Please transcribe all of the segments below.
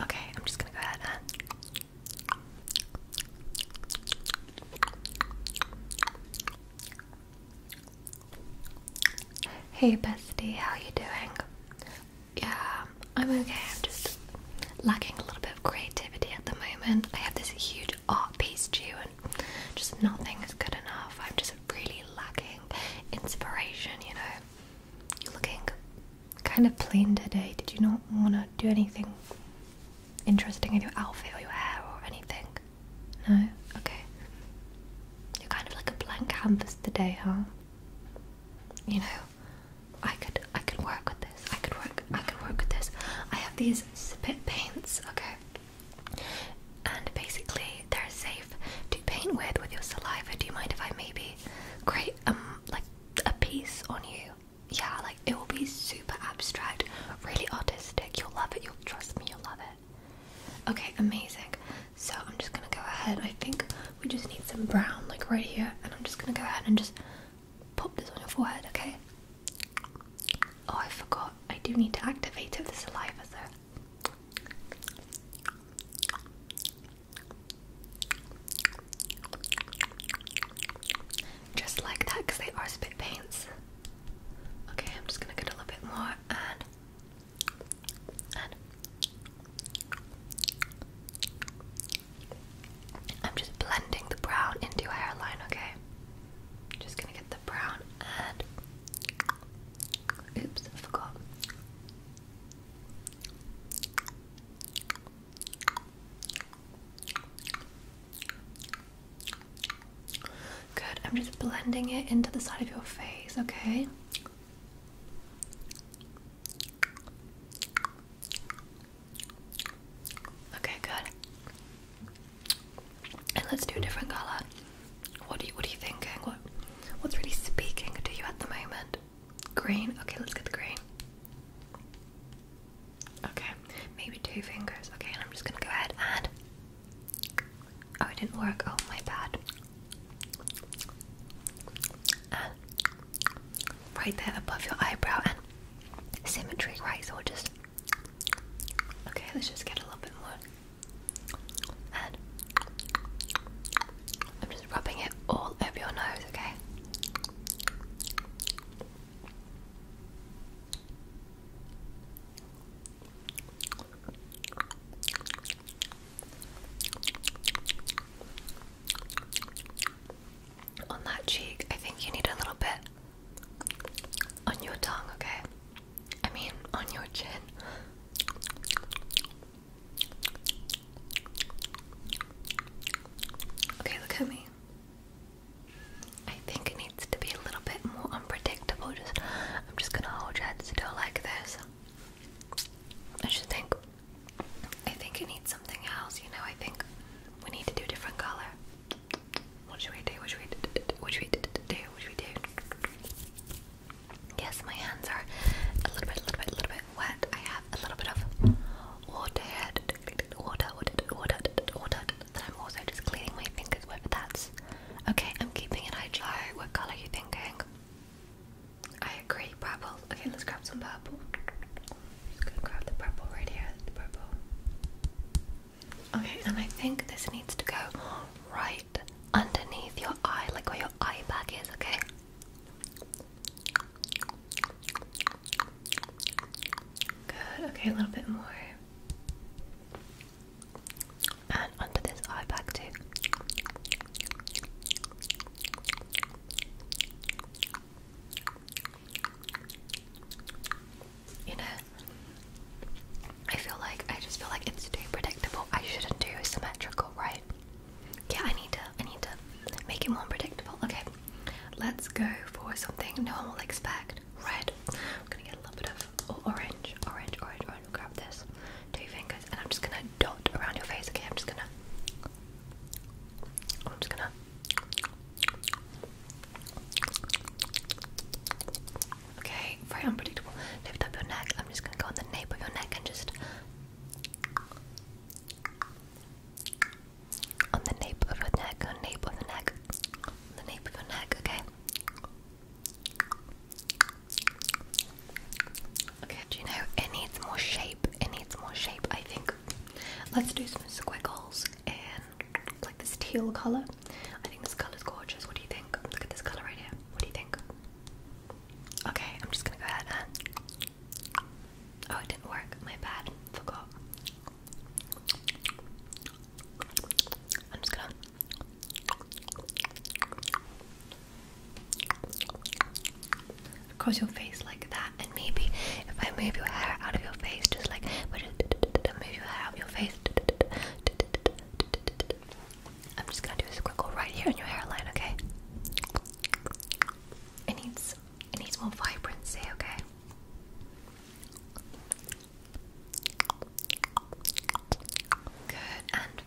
Okay, I'm just gonna go ahead and. Hey bestie, how you doing? Yeah, I'm okay. I'm just lacking a little bit of creativity at the moment. I have this huge art piece due, and just nothing is good enough. I'm just really lacking inspiration, you know. You're looking kind of plain today. Did you not want to do anything interesting in your outfit or your hair or anything? No? Okay. You're kind of like a blank canvas today, huh? You know, I could I could work with this. I could work I could work with this. I have these spit paints, okay? And basically they're safe paint with with your saliva? Do you mind if I maybe create um like a piece on you? Yeah, like it will be super abstract, really artistic. You'll love it. You'll trust me. You'll love it. Okay, amazing. So I'm just gonna go ahead. I think we just need some brown, like right here, and I'm just gonna go ahead and just pop this on your forehead. Okay. Oh, I forgot. I do need to activate it with saliva, though. Just like that, because they are spit paints. Okay, I'm just gonna get a little bit more and and I'm just blending the brown into your hairline, okay? Just gonna get the brown and oops, I forgot. Good. I'm just blending it into the side of your face, okay? Okay, good. And let's do a different color. What do you what are you thinking? What what's really speaking to you at the moment? Green. Okay, let's get the green. Okay, maybe two fingers. Okay, and I'm just gonna go ahead and. Oh, it didn't work. Oh, my bad. right there above your eyebrow and symmetry, right? So just. Okay, let's just get a little bit more. I'm just rubbing it all over your nose, okay? On that cheek, I think you need a little bit on your tongue, okay? I mean, on your chin. Okay, look at me. I think it needs to be a little bit more unpredictable. Just, I'm just gonna hold your head still like this. I should think. I think it needs something else. You know, I think we need to do a different color. What should we do? What should we do? What should we do? What should we do? Yes, my hands are a little bit, a little bit, a little bit wet. I have a little bit of water, water, water, water, water. Then I'm also just cleaning my fingers with. That's okay. I'm keeping it hygienic. What color are you thinking? I agree, purple. Okay, let's grab some purple. Just going grab the purple right here. The purple. Okay, and I think this needs to go right underneath your eye, like where your eye bag is. Okay. Good, okay, a little bit more. And onto this eye back too. You know, I feel like I just feel like it's too predictable. I shouldn't do symmetrical, right? Yeah, I need to I need to make it more predictable. Okay. Let's go for something no one will expect. Red. I'm gonna get a little bit of oh, orange, orange, orange, orange. Grab this. Two fingers and I'm just gonna dot around your face, okay? I'm just gonna I'm just gonna Okay, very unpredictable. Lift up your neck. I'm just gonna go on the nape of your neck and just on the nape of the neck, on the nape of the neck, on the nape of the neck, okay? Okay, do you know it needs more shape? It needs more shape, I think. Let's do some squiggles in like this teal colour. I think this color is gorgeous. What do you think? Look at this colour right here. What do you think? Okay, I'm just gonna go ahead and. Oh, it didn't work. My bad. Forgot. I'm just gonna. Cross your face like that, and maybe if I move your hair out of your face, just like move your hair out of your face. I'm just gonna do a squinkle right here in your hairline, okay? It needs it needs more vibrancy, okay? Good, and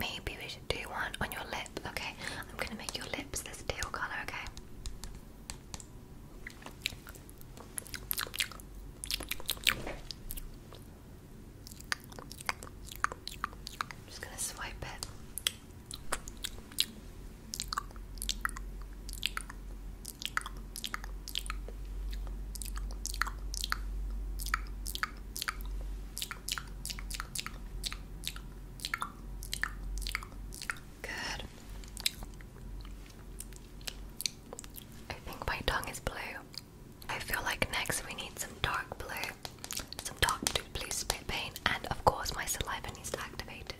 maybe we should do one on your lip, okay? I'm gonna make your lips this teal color, okay? i just gonna swipe it. Good. I think my tongue is blue. I feel like next we need some dark blue, some dark blue spit paint, and of course my saliva needs to activate.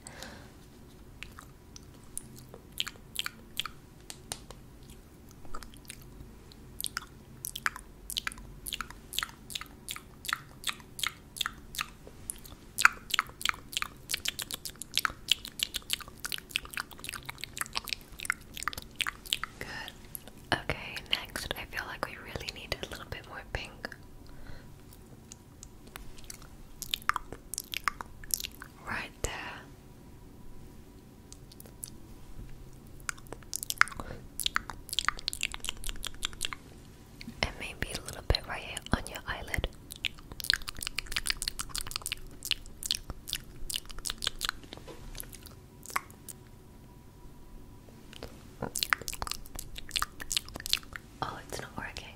Good. Okay, next, I feel like we really need a little bit more pink. Right there. And maybe a little bit right here on your eyelid. Oh, it's not working.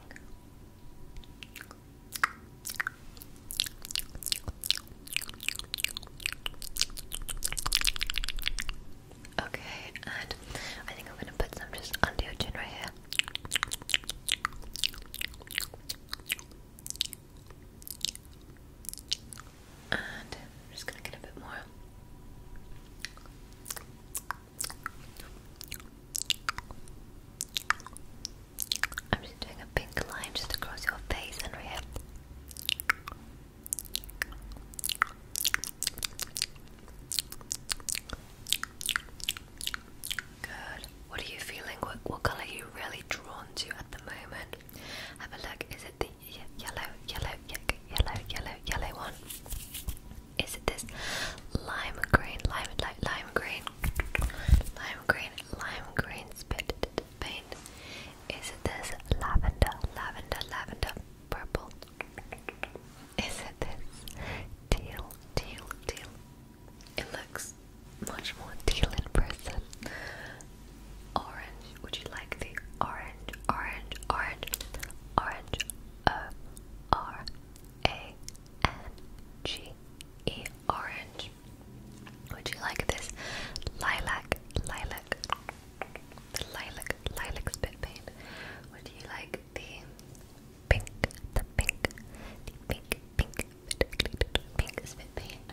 Okay, and I think I'm going to put some just under your chin right here. I'm just going to get a bit more. I'm just doing a pink line just across your face and Good. What are you feeling? What, what color are you really drawn to at the moment? Have a look. Is it the yellow, yellow, yellow, yellow, yellow one. Is it this lime green, lime, lime, lime green, lime green, lime green spit paint? Is it this lavender, lavender, lavender, purple? Is it this teal, teal, teal? It looks much more teal in person Orange. Would you like the orange, orange, orange, orange, O R A N G E orange? Would you like this lilac, lilac, the lilac, lilac spit paint? Would you like the pink, the pink, the pink, pink, pink spit paint?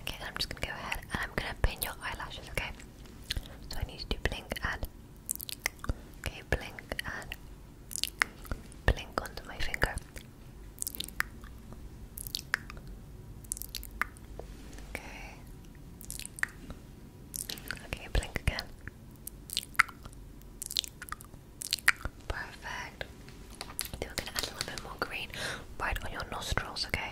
Okay, I'm just gonna go ahead and I'm gonna pin your eyelashes, okay? So I need you to blink and okay, blink and blink onto my finger. Okay. Okay, blink again. Perfect we're gonna add a little bit more green right on your nostrils, okay?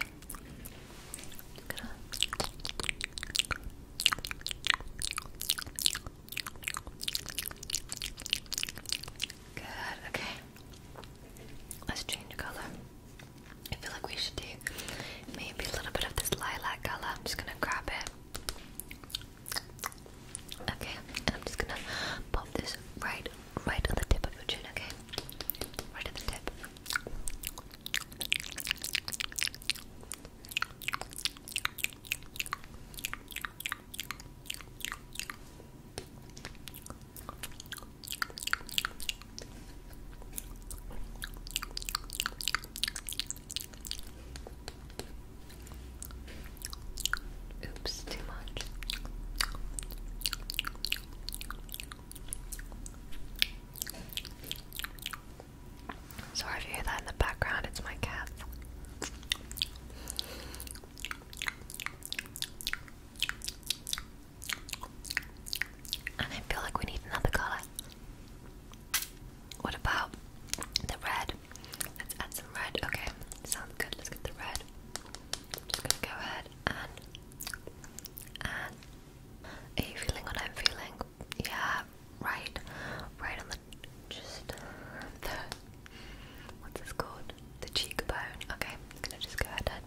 Good, okay. Let's change colour. I feel like we should do maybe a little bit of this lilac colour. I'm just gonna grab it. Okay, and I'm just gonna pop this right right on the tip of your chin, okay? Right on the tip. Oops, too much. Sorry if you hear that in the background, it's my cat. And I feel like we need another color. What about the red? Let's add some red. Okay, sounds good. Let's get the red. just gonna go ahead are you feeling what I'm feeling? Yeah, right, right on the just the what's this called? The cheekbone. Okay, I'm gonna just go ahead and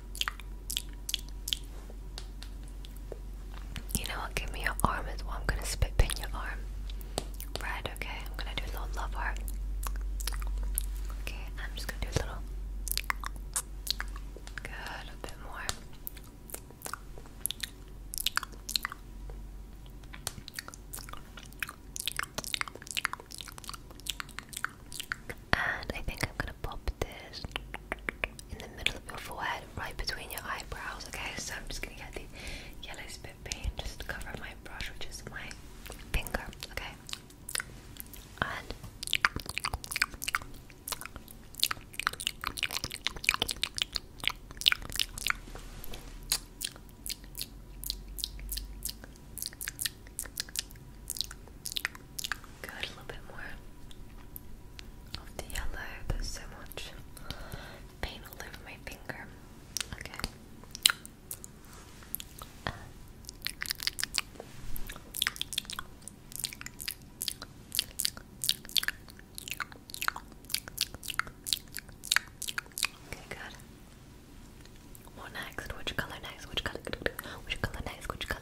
You know what? Give me your arm as well. I'm gonna spit in your arm. Right, okay. I'm gonna do a little love heart. Okay, I'm just gonna do a little. Good, a bit more. And I think I'm gonna pop this in the middle of your forehead, right between your eyebrows. Okay, so I'm just gonna get the yellow spit paint, just cover my brush, which is my finger. Okay, Good, a little bit more of the yellow. There's so much paint all over my finger. Okay. Okay, good. What next? Which color next? Which color? Which color next? Which color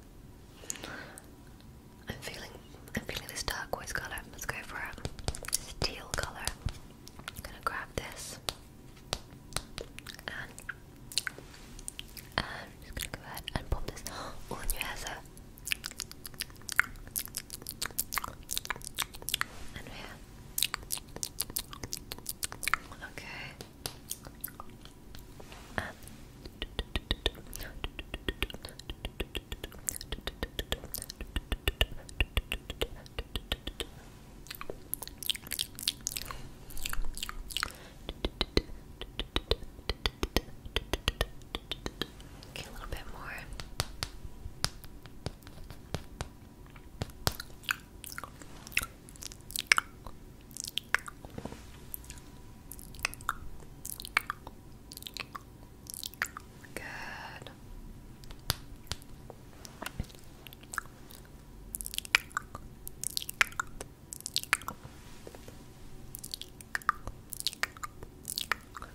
I'm feeling I'm feeling this dark colour. Let's go for a steel colour. I'm gonna grab this and just gonna go ahead and pop this on your hair sir. Okay up Okay, a little bit more. Good.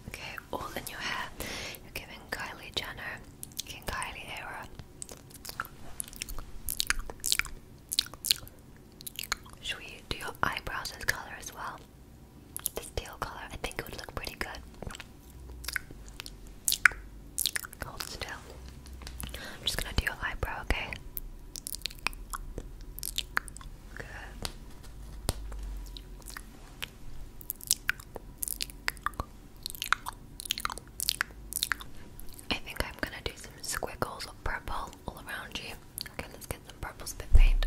Okay, all in your hair. You're giving Kylie Jenner, King Kylie era. Should we do your eyebrows as color as well? This teal color, I think it would look pretty good. Hold still. I'm just gonna do your eyebrow, okay? Good. I think I'm gonna do some squiggles of purple all around you. Okay, let's get some purple spit paint.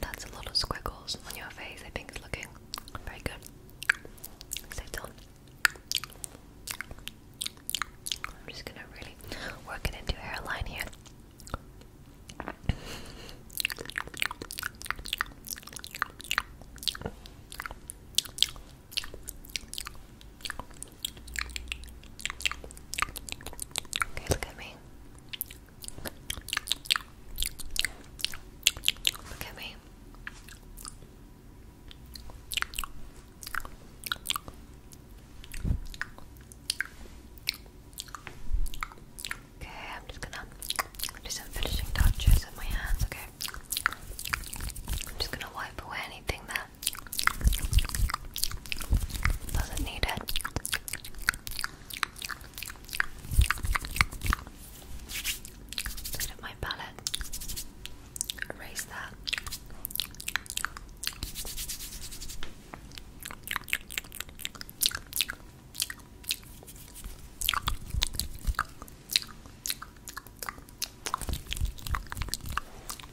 That's a lot of squiggles on your face. I think it's looking very good. Stay I'm just gonna really work it into hairline here. Okay, look at me. Look at me. Okay, I'm just gonna do some finishing touches with my hands, okay? I'm just gonna wipe away anything that doesn't need it. Sit at my palette. Erase that.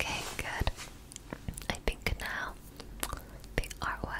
Okay, good. I think now the artwork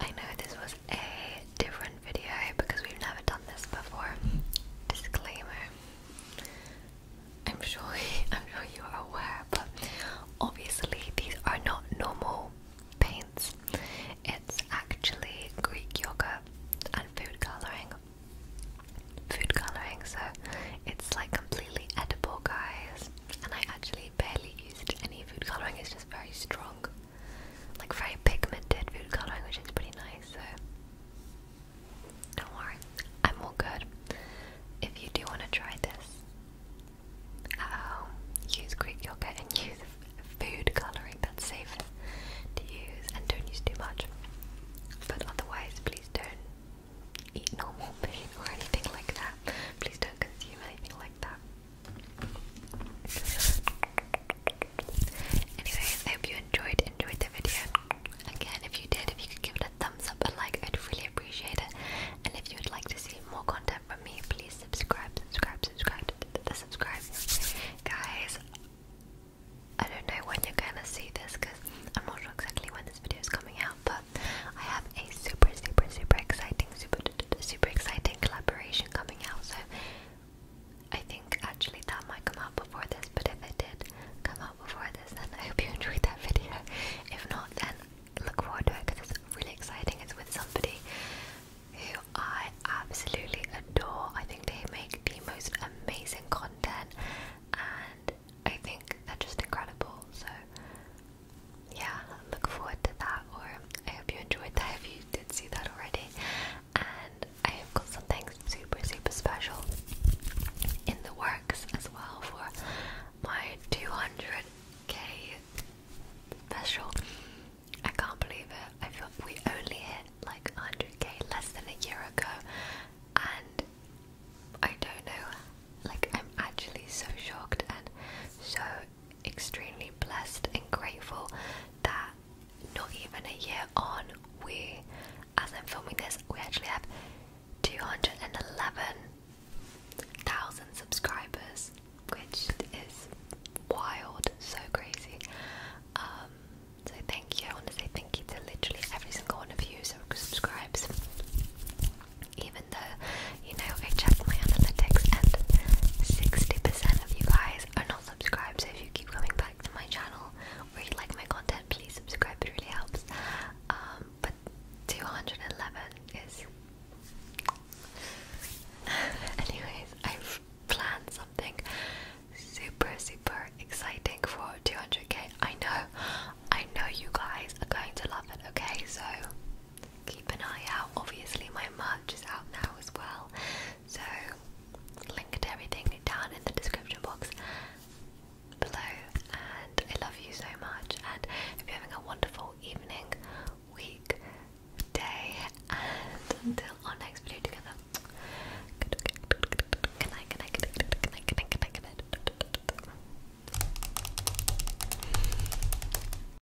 I know this was a different video because we've never done this before. Disclaimer. I'm sure I'm sure you are aware, but obviously these are not normal paints. It's actually Greek yogurt and food coloring. Food coloring, so it's like completely edible, guys. And I actually barely used any food coloring. It's just very strong like very pigmented food colouring, which is pretty nice. So don't worry, I'm all good. If you do want to try this um, use Greek yogurt and use food colouring that's safe to use and don't use too much. But otherwise, please don't eat normal meat or anything like that. Please don't consume anything like that. Anyway, I hope you enjoyed enjoyed the video. Again, if you did, if you could give it a thumbs up, a like, I'd really appreciate it. And if you would like to see more content from me, please subscribe, subscribe, subscribe, subscribe, guys. I don't know when you're gonna see this because I'm not sure exactly when this video is coming out, but I have a super, super, super exciting, super, super exciting collaboration coming something So I think actually that might come out before this, but if it did come out before this, then I hope you enjoyed that video. If not, then look forward to it because it's really exciting. It's with somebody who I absolutely adore. I think they make the most amazing content, and I think they're just incredible. So yeah, look forward to that. Or I hope you enjoyed that if you did see that already. And I have got something super, super special in the works as well for my 200k special. I can't believe it. I feel we only hit like 100k less than a year ago, and I don't know. Like I'm actually so shocked and so extremely blessed and grateful that not even a year on, we, as I'm filming this, we actually have 211,000 subscribers, which is wild, so crazy. Um, so thank you. I want to say thank you to literally every single one of you who subscribes, even though you know, I checked my analytics and 60% of you guys are not subscribed. So if you keep coming back to my channel or you like my content, please subscribe. It really helps. Um, but 211 is. Anyways, I've planned something super, super exciting for 200k. I know, I know you guys are going to love it, okay? So keep an eye out. Obviously, my merch is out now as well, so link to everything down in the description box below. And I love you so much. And if you're having a wonderful evening, week, day, and until our next video together.